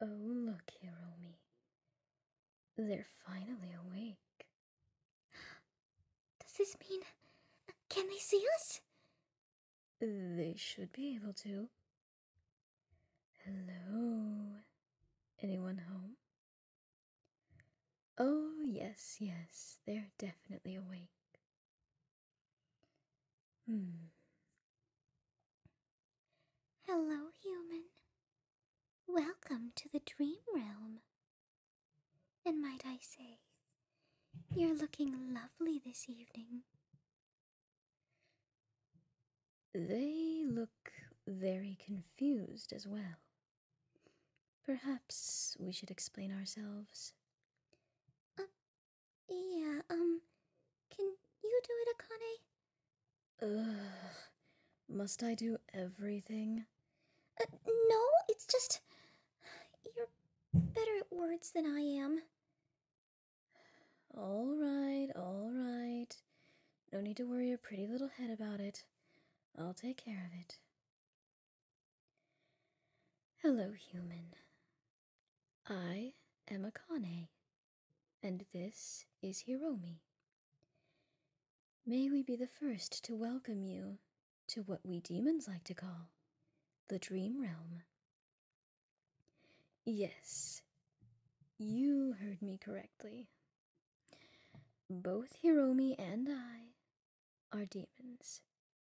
Oh, look here, Omi. They're finally awake. Does this mean. Can they see us? They should be able to. Hello. Anyone home? Oh, yes, yes, they're definitely awake. Hmm. Hello, human. Welcome to the dream realm. And might I say, you're looking lovely this evening. They look very confused as well. Perhaps we should explain ourselves. Uh, yeah, um, can you do it, Akane? Ugh, must I do everything? Uh, no, it's just. You're better at words than I am. All right, all right. No need to worry your pretty little head about it. I'll take care of it. Hello, human. I am a Akane, and this is Hiromi. May we be the first to welcome you to what we demons like to call the dream realm. Yes, you heard me correctly. Both Hiromi and I are demons.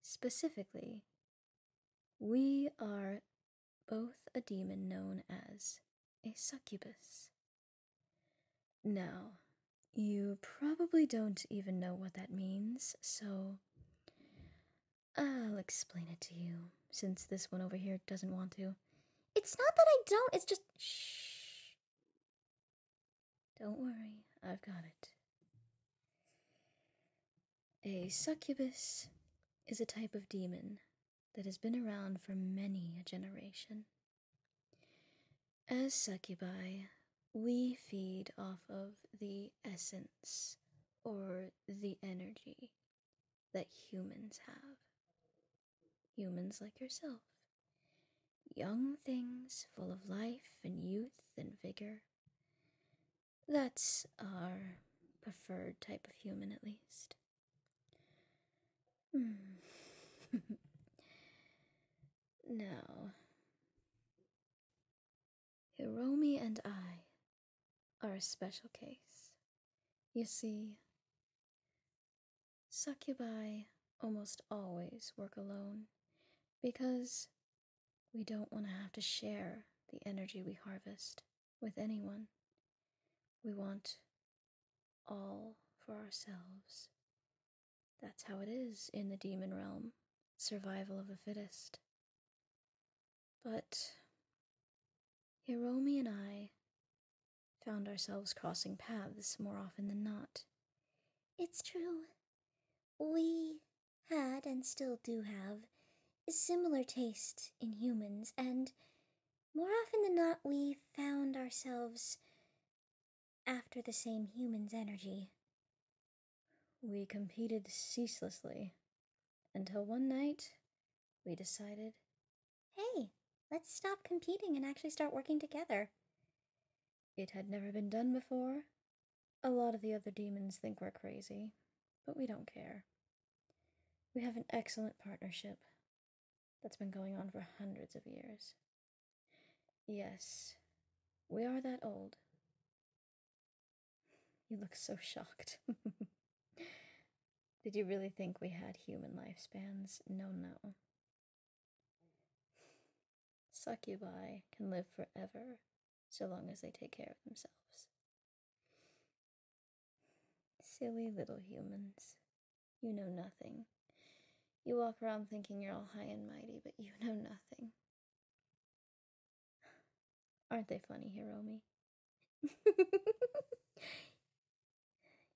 Specifically, we are both a demon known as a succubus. Now, you probably don't even know what that means, so I'll explain it to you, since this one over here doesn't want to. It's not that I don't, it's just shh. Don't worry, I've got it. A succubus is a type of demon that has been around for many a generation. As succubi, we feed off of the essence or the energy that humans have. Humans like yourself young things full of life and youth and vigor. That's our preferred type of human, at least. Hmm. No. Hiromi and I are a special case. You see, succubi almost always work alone because we don't want to have to share the energy we harvest with anyone. We want all for ourselves. That's how it is in the demon realm survival of the fittest. But Hiromi and I found ourselves crossing paths more often than not. It's true we had, and still do have, similar tastes in humans, and more often than not, we found ourselves after the same human's energy. We competed ceaselessly until one night we decided hey, let's stop competing and actually start working together. It had never been done before. A lot of the other demons think we're crazy, but we don't care. We have an excellent partnership that's been going on for hundreds of years. Yes, we are that old. You look so shocked. Did you really think we had human lifespans? No, no. Succubi can live forever so long as they take care of themselves. Silly little humans. You know nothing. You walk around thinking you're all high and mighty, but you know nothing. Aren't they funny, Hiromi?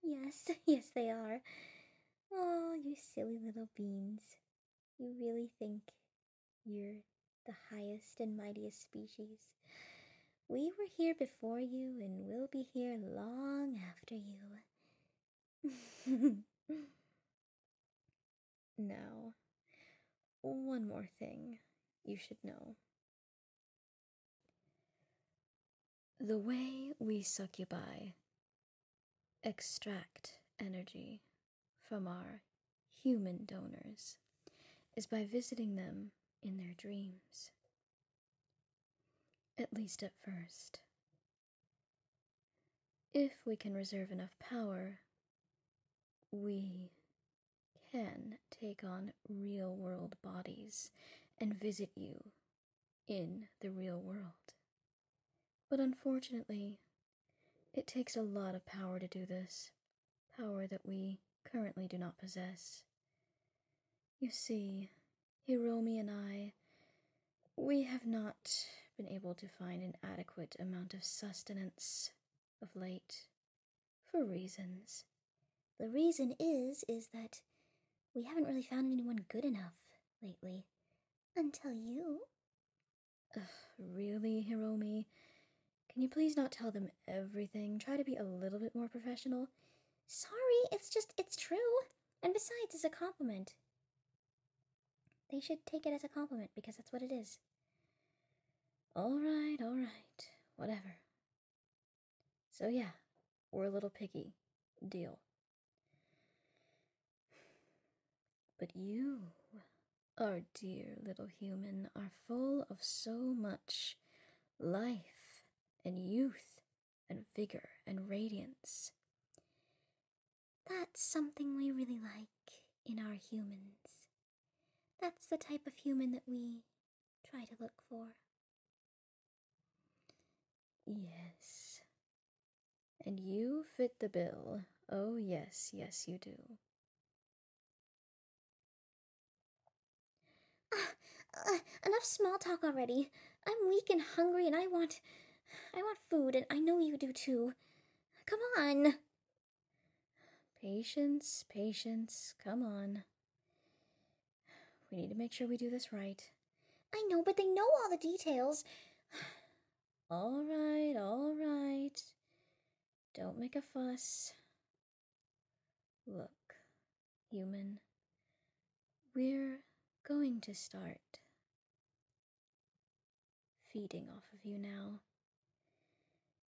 Yes, yes, they are. Oh, you silly little beans. You really think you're the highest and mightiest species. We were here before you and we will be here long after you. now, one more thing you should know. The way we succubi extract energy from our human donors is by visiting them in their dreams, at least at first. If we can reserve enough power, we can take on real world bodies and visit you in the real world. But unfortunately, it takes a lot of power to do this, power that we currently do not possess. You see, Hiromi and I, we have not been able to find an adequate amount of sustenance of late, for reasons the reason is, is that we haven't really found anyone good enough lately. Until you. Ugh, really, Hiromi? Can you please not tell them everything? Try to be a little bit more professional. Sorry, it's just, it's true. And besides, it's a compliment. They should take it as a compliment because that's what it is. All right, all right, whatever. So, yeah, we're a little picky. Deal. But you, our dear little human, are full of so much life and youth and vigor and radiance. That's something we really like in our humans. That's the type of human that we try to look for. Yes. And you fit the bill. Oh, yes, yes, you do. Ah, uh, enough small talk already. I'm weak and hungry and I want. I want food and I know you do too. Come on. Patience, patience, come on. We need to make sure we do this right. I know, but they know all the details. all right, all right. Don't make a fuss. Look, human, we're going to start feeding off of you now.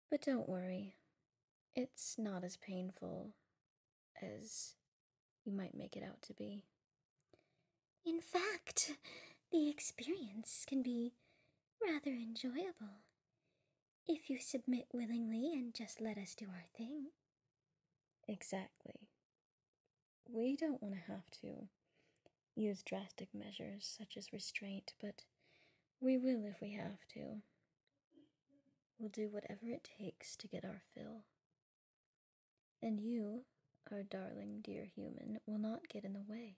But don't worry, it's not as painful as you might make it out to be. In fact, the experience can be rather enjoyable if you submit willingly and just let us do our thing. Exactly. We don't want to have to use drastic measures such as restraint, but we will if we have to. We'll do whatever it takes to get our fill. And you, our darling dear human, will not get in the way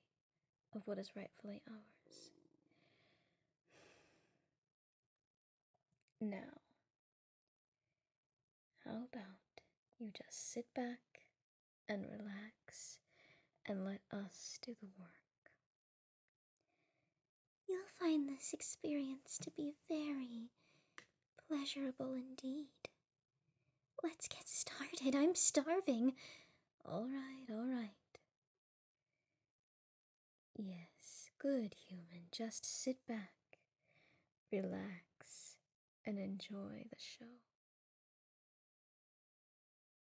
of what is rightfully ours. Now, how about you just sit back and relax and let us do the work? You'll find this experience to be very pleasurable indeed. Let's get started. I'm starving. All right, all right. Yes, good human. Just sit back, relax, and enjoy the show.